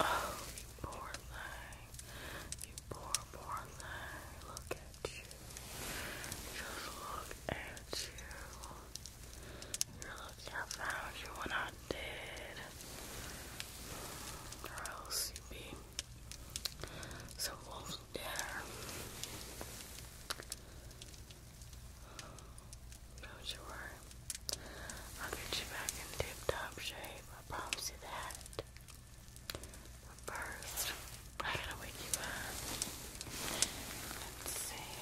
Oh, poor thing. You poor, poor thing. Look at you. Just look at you. I found you when I did. Gross, you be so wolf's dinner. not you I'll get you back in tip-top shape. I promise you that. But first, I gotta wake you up. Let's see.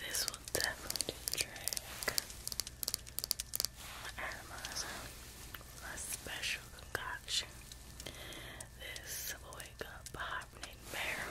This will definitely do the trick. Atomizer, special concoction. This will wake up a hibernating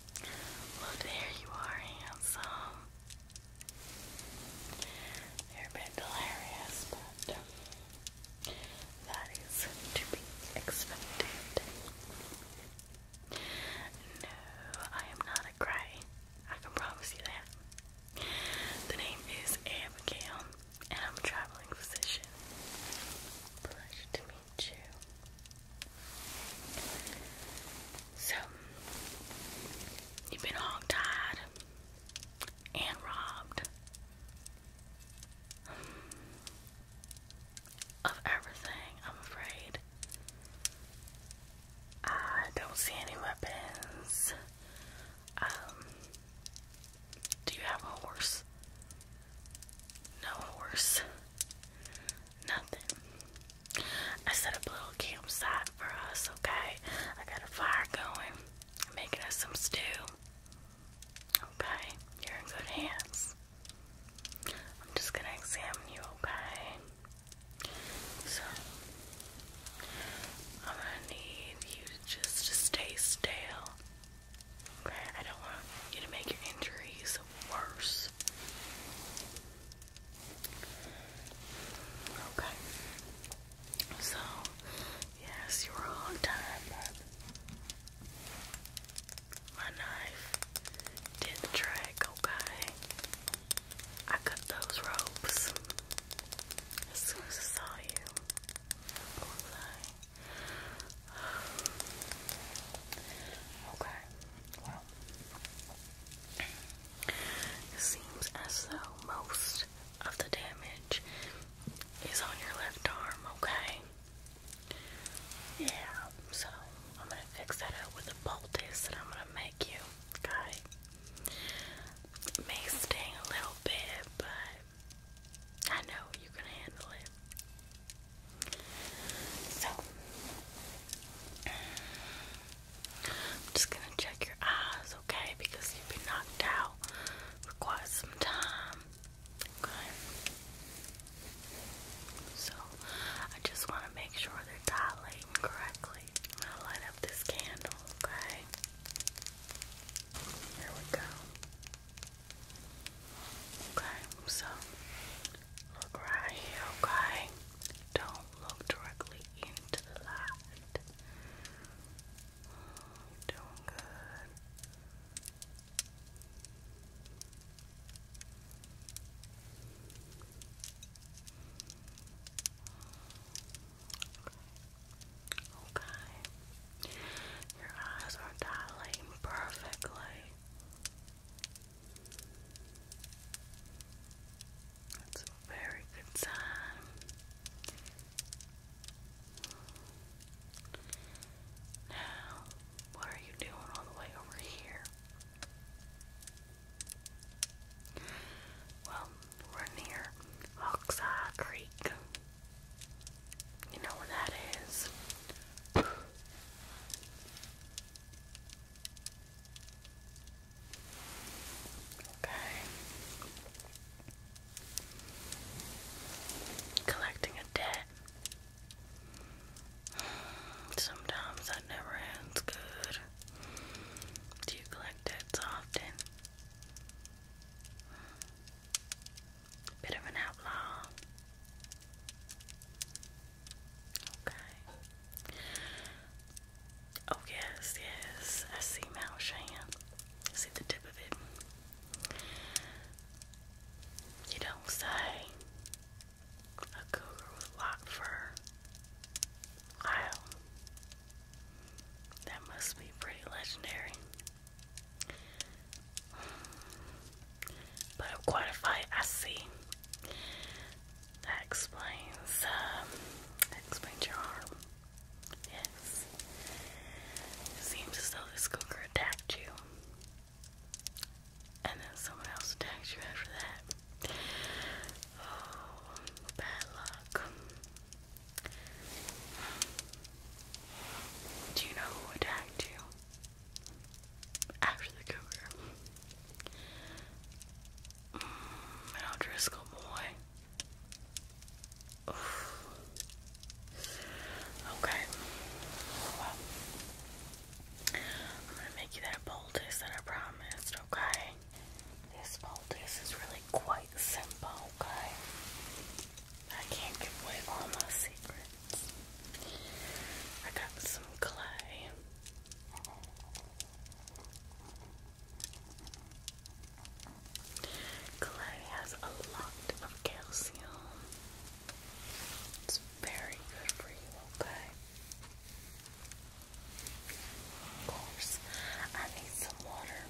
Well, there you are, handsome. You're a bit delirious, but um, that is to be expected. No, I am not a cry. I can promise you that. The name is Abigail, and I'm a traveling physician. Pleasure to meet so, you've been hog and robbed of everything, I'm afraid. I don't see any weapons. Um, do you have a horse? No horse. Nothing. I set up a little campsite for us, okay? I got a fire going. i making us some stew. Okay, you're in good hands. I'm just gonna examine you, okay? So, I'm gonna need you to just to stay still. Okay, I don't want you to make your injuries worse. Okay. So, yes, you were on time, my knife did the trick, okay? I cut those ropes as soon as I saw you. Okay. It seems as though most of the damage is on your left arm, okay? Yeah, so I'm gonna fix that up with a poultice that I'm gonna make you, okay? may sting a little bit, but I know you can handle it. So, I'm just gonna check your eyes, okay? Because you've been knocked out for some time, okay? So, I just want to make sure they're dilating correctly. I'm gonna light up this candle, okay? Here we go. Okay, so look right here, okay? Don't look directly into the light. doing good. Okay. Your eyes are dilating perfectly. That's a very good sign. Now, what are you doing all the way over here? Well, we're near Oxeye Creek. You know where that is? Okay. Collecting a debt. Sometimes that never ends good. Do you collect debts often? Bit of an outlaw. Okay. Oh yes, yes. I see Mount Shan. I see the tip of it. You don't say a cougar with lock fur. Wow. That must be pretty legendary. But I'm qualified, I see. That explains, um, explains your arm. Yes. seems as though this cougar attacked you. And then someone else attacked you after that. Oh, bad luck. Do you know who attacked you? after the cover. Mm, and i boy. Okay. I'm gonna make you that boldest that I promised, okay? This boldest is really quite simple, okay? I can't give away all my secrets. I got some clay. Clay has a lot of calcium. It's very good for you, okay? Of course, I need some water.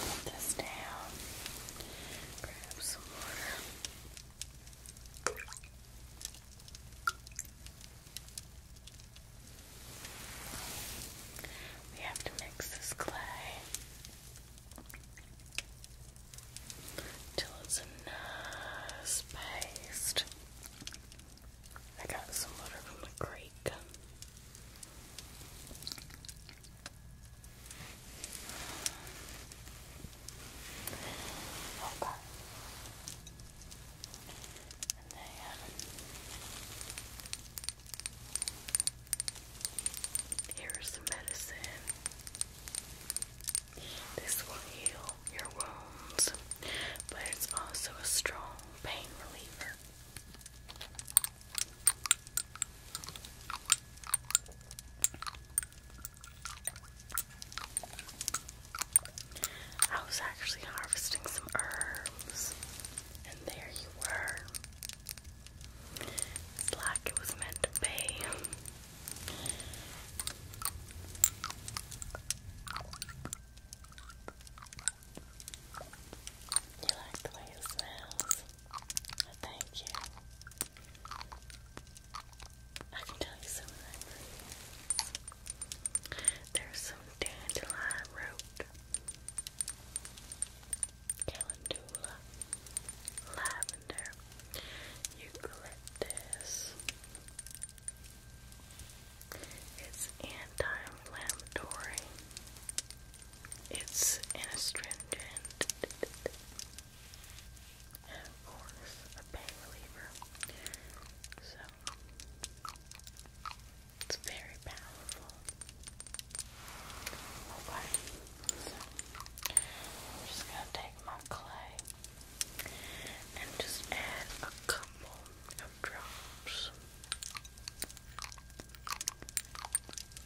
Put this down. Grab some water. We have to mix this clay till it's a nice paste. I got some water from the creek. Okay. And then um, here's the medicine. This will heal your wounds, but it's also a strong pain reliever. I was actually harvesting some herbs, and there you were. It's like it was meant to be. You like the way it smells? Thank you. I can tell you some of There's some dandelion root, calendula, lavender, eucalyptus. It's anti-inflammatory. It's an astringent. Of course, a pain reliever. So, it's very powerful. Okay, so I'm just gonna take my clay and just add a couple of drops.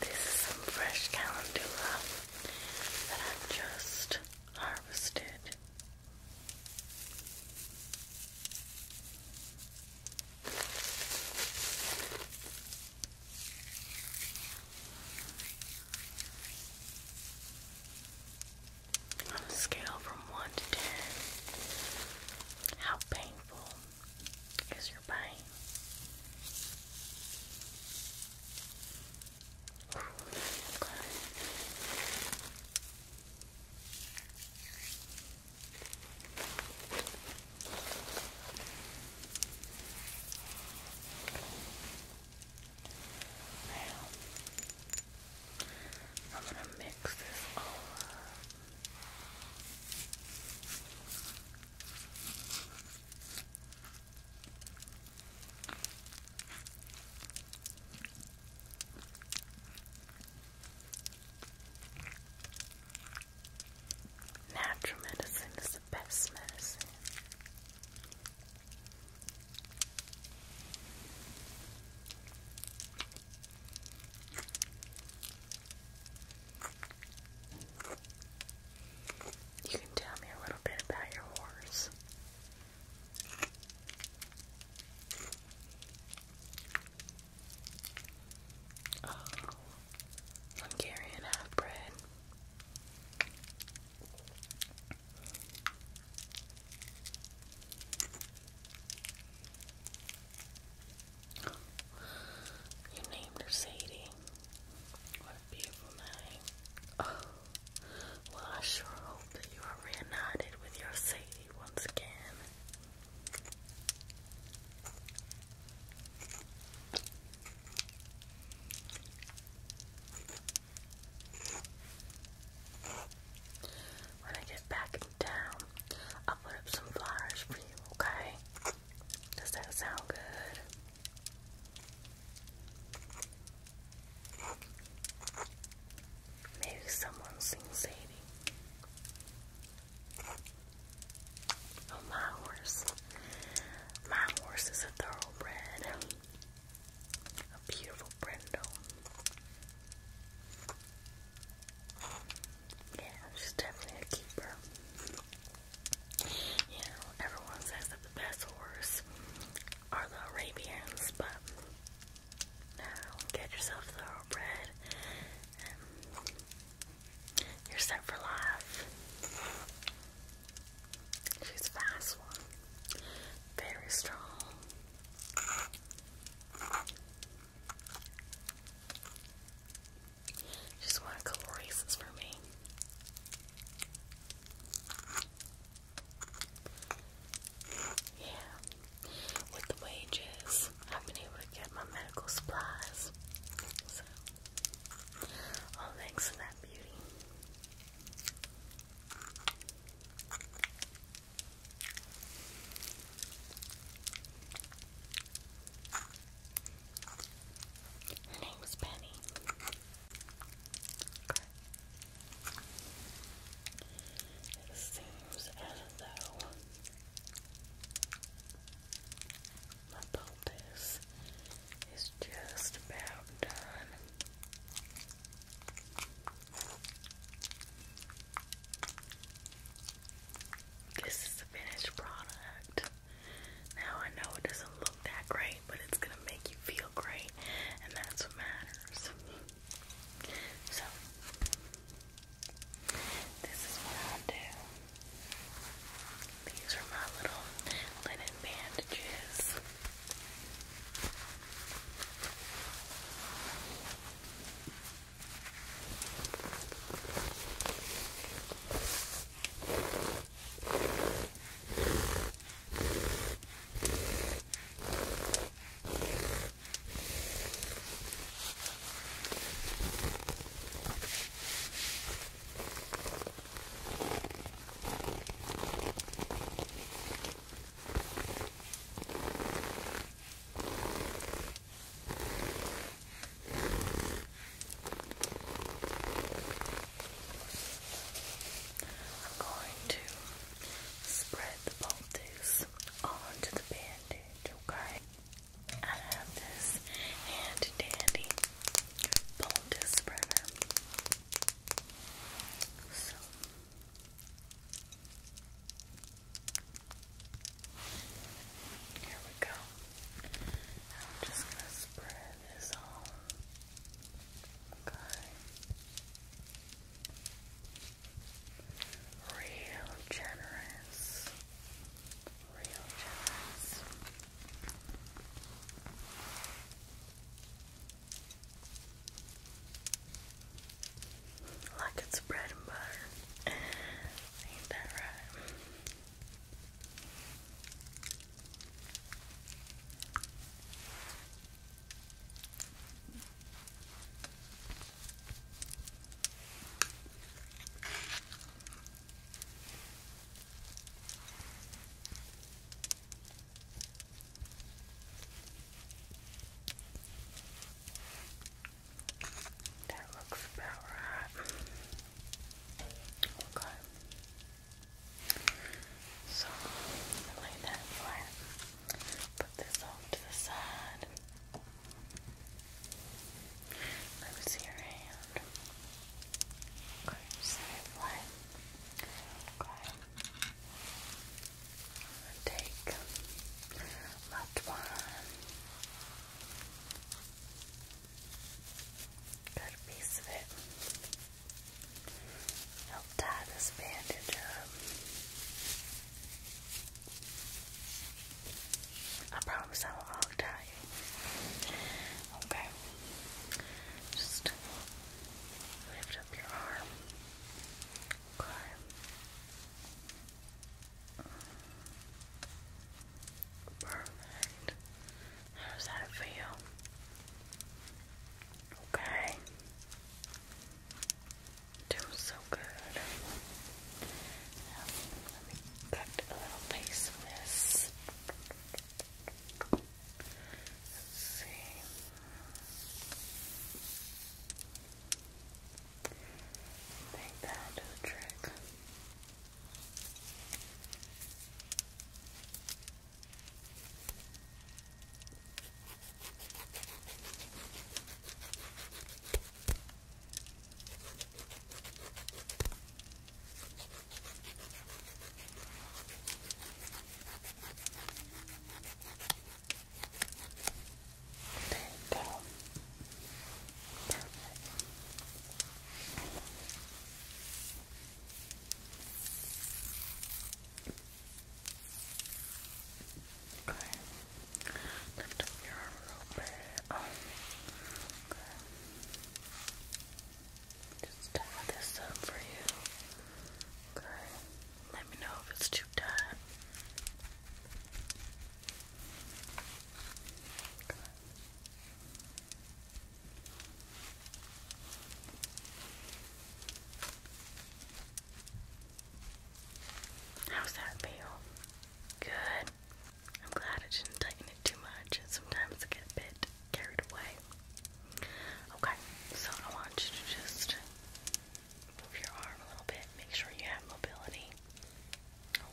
this is some fresh calendula that i just harvested. On a scale from 1 to 10, how painful is your pain? I'm going to mix this all up. Natural medicine is the best medicine. You can tell me a little bit about your horse. Oh, Hungarian half breed. You named her Sadie. What a beautiful name. Oh, well, I sure hope that you are reunited with your Sadie once again. When I get back in I'll put up some flowers for you, okay? Does that sound good? Maybe someone sings Sadie. Oh, my horse. My horse is a thoroughbred. A beautiful brindle. Yeah, she's definitely a keeper. You know, everyone says that the best horse are the Arabians, but no, get yourself thoroughbred and you're set for life. She's a fast one. Very strong. She's one of Calorese's for me. Yeah. With the wages, I've been able to get my medical supplies. all thanks to that beauty. Her name was Penny. It seems as though my poultice it's just about done. This is the finished product. Now I know it doesn't look that great, but it's gonna make you feel great, and that's what matters. So, this is what i do. These are my little linen bandages. I'm going to spread the poultice onto the bandage, okay? I have this hand dandy boldest spreader. So here we go. I'm just gonna spread this all. Okay. Real generous real generous. Like it's bread and butter. Ain't that right? That looks about right. Okay. So lay that flat. Put this off to the side. Let me see your hand. Okay, Take left one. Good piece of it. i tie this bandage up. I promise I will all tie Okay. Just lift up your arm. Perfect. How does that feel? Okay. Doing so good. Now, let me cut a little piece of Let's see. I think that'll do the trick. Okay. There you go. Perfect. Okay. Lift up your arm a little bit. Um, okay. Just tie this up for you. Okay. Let me know if it's too tight. Okay. How's that feel? Good. I'm glad I didn't tighten it too much. And Sometimes I get a bit carried away. Okay, so I want you to just move your arm a little bit. Make sure you have mobility.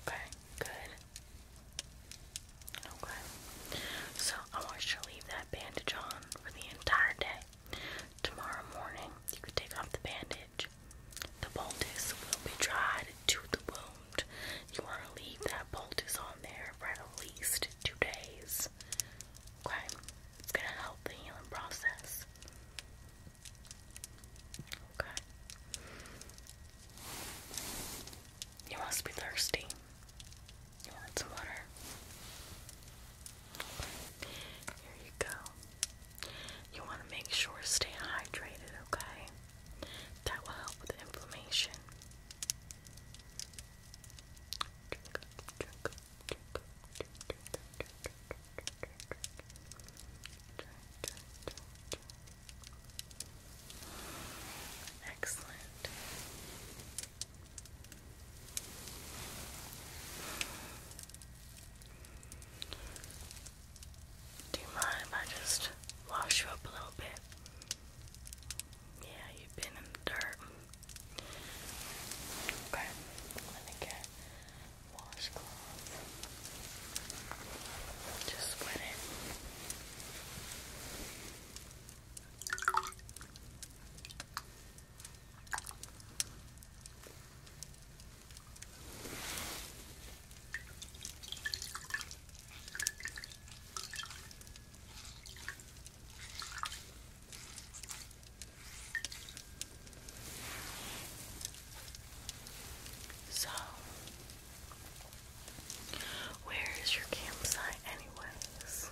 Okay, good. Okay, so I want you to leave that bandage on for the entire day. Tomorrow morning, you can take off the bandage. The poultice will be dried to the wound. You want to leave that bolt is on there for at least two days. Okay? It's going to help the healing process. Okay. You must be thirsty. You want some water? Here you go. You want to make sure to stay hydrated, okay? That will help with the inflammation. Excellent. Do you mind if I just wash you up a little bit? Yeah, you've been in the dirt. Okay, let me get washcloth. Just wet it. So, where is your campsite, anyways?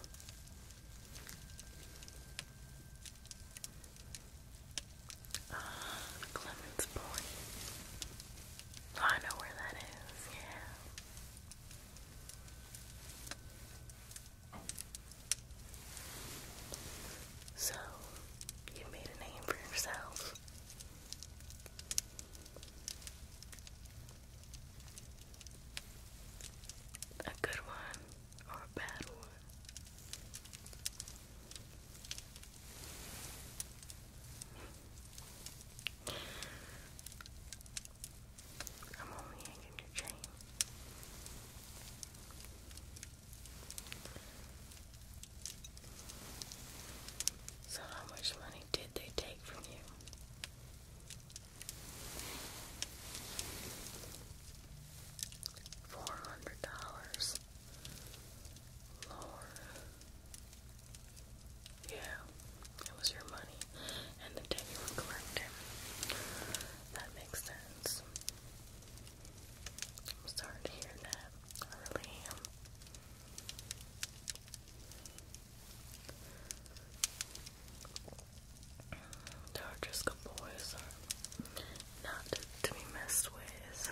Ah, uh, Clements Point. I know where that is, yeah. So, you made a name for yourself. A good one or a bad one? I'm only hanging your chain. So, how much money did they take from you? Four hundred dollars. Lord. Yeah, it was your money, and the day you were collecting. That makes sense. I'm sorry to hear that. I really am. The boys are not to be messed with.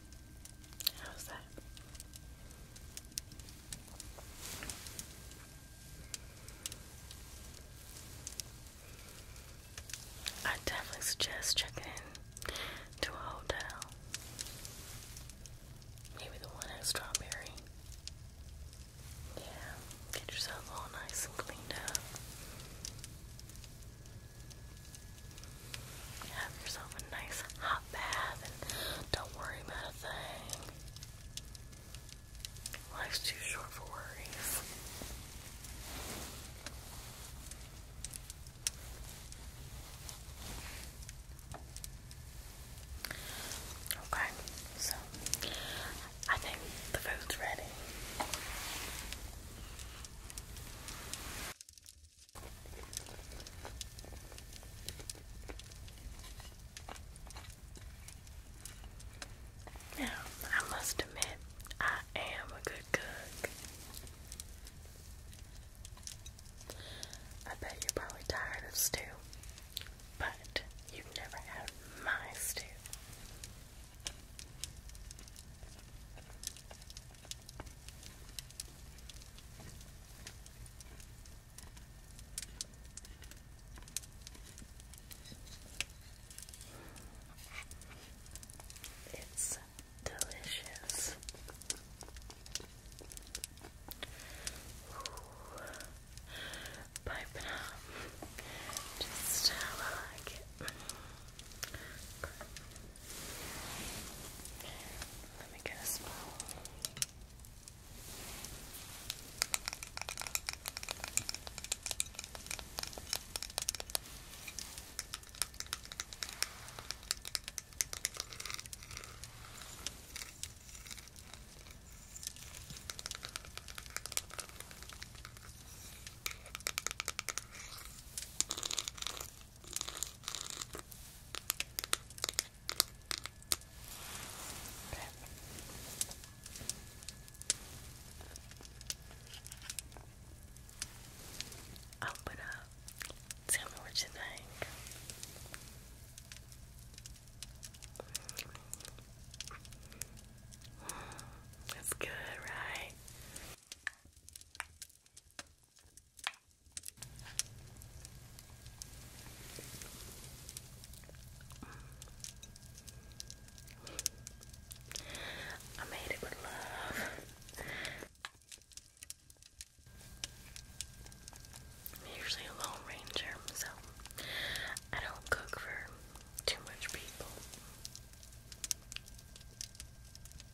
How's that? I definitely suggest checking in to a hotel. Maybe the one at Strawberry. Yeah, get yourself all nice and cleaned up. Have yourself a nice hot bath and don't worry about a thing. Life's too short for worries. Okay, so I think the food's ready. Now, I must admit, I am a good cook. I bet you're probably tired of stew, but you've never had my stew. It's delicious. Pipe it up. Just have a like it. Let me get a smell. Okay. Open up. Tell me what you think. That's good, right? I made it with love. usually a lone ranger, so I don't cook for too much people.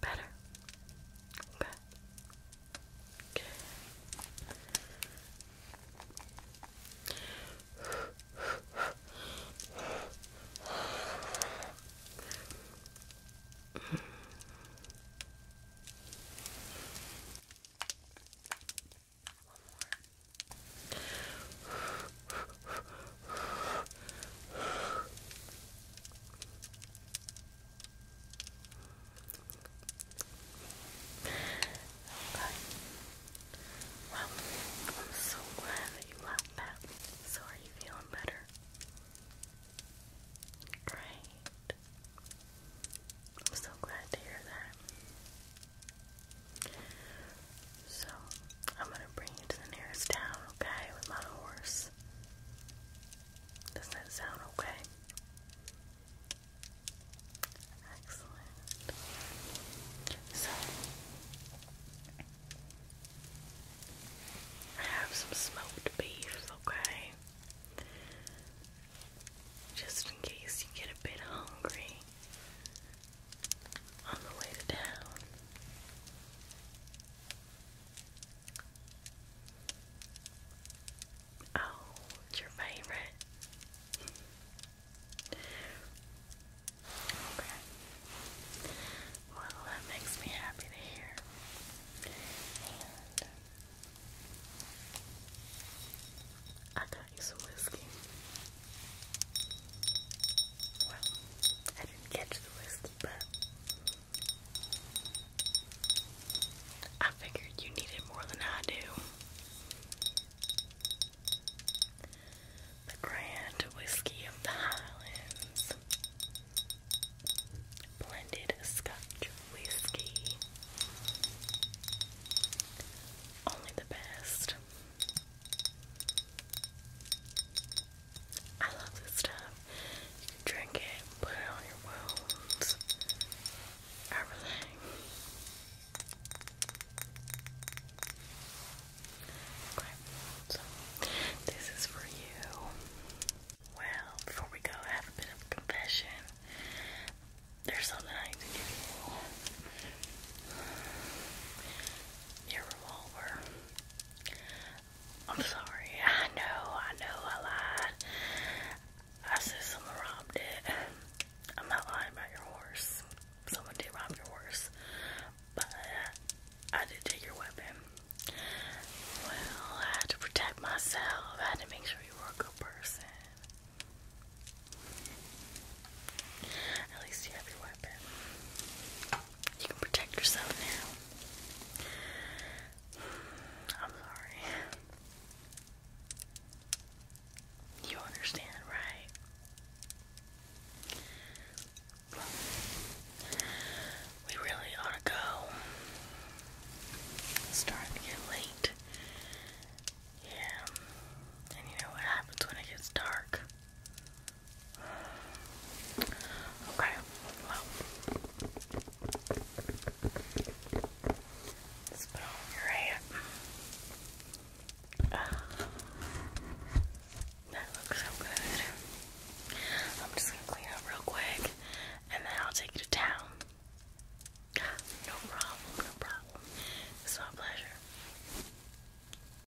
Better. Okay. Okay. One more. Okay. Well, I'm so glad that you left that. So are you feeling better? Great. I'm so glad to hear that. So, I'm gonna bring you to the nearest town, okay? With my horse. Does that sound okay? Excellent. So, I have some smoked beef, okay? Just in case you get a bit hungry on the way to town. Oh, it's your favorite. okay. Well, that makes me happy to hear. I got you some whiskey. Well, I figured you need it more than I do. The Grand Whiskey of the Highlands. Blended Scotch Whiskey. Only the best. I love this stuff. You can drink it, put it on your wounds, everything. Okay, so this is for you. Well, before we go, have a bit of a confession. There's something I need to give you. Your revolver. I'm sorry. I know. I know. I lied. I said someone robbed it. I'm not lying about your horse. Someone did rob your horse, but I did take your weapon. Well, I had to protect myself. I had to make sure you were a good person. At least you have your weapon. You can protect yourself now. I'm sorry. You understand, right? we really ought to go. It's starting to get late. Yeah. And you know what happens when it gets dark? Okay, let's put on your hand. that looks so good. I'm just gonna clean up real quick and then I'll take you to town. No problem, no problem. It's my pleasure.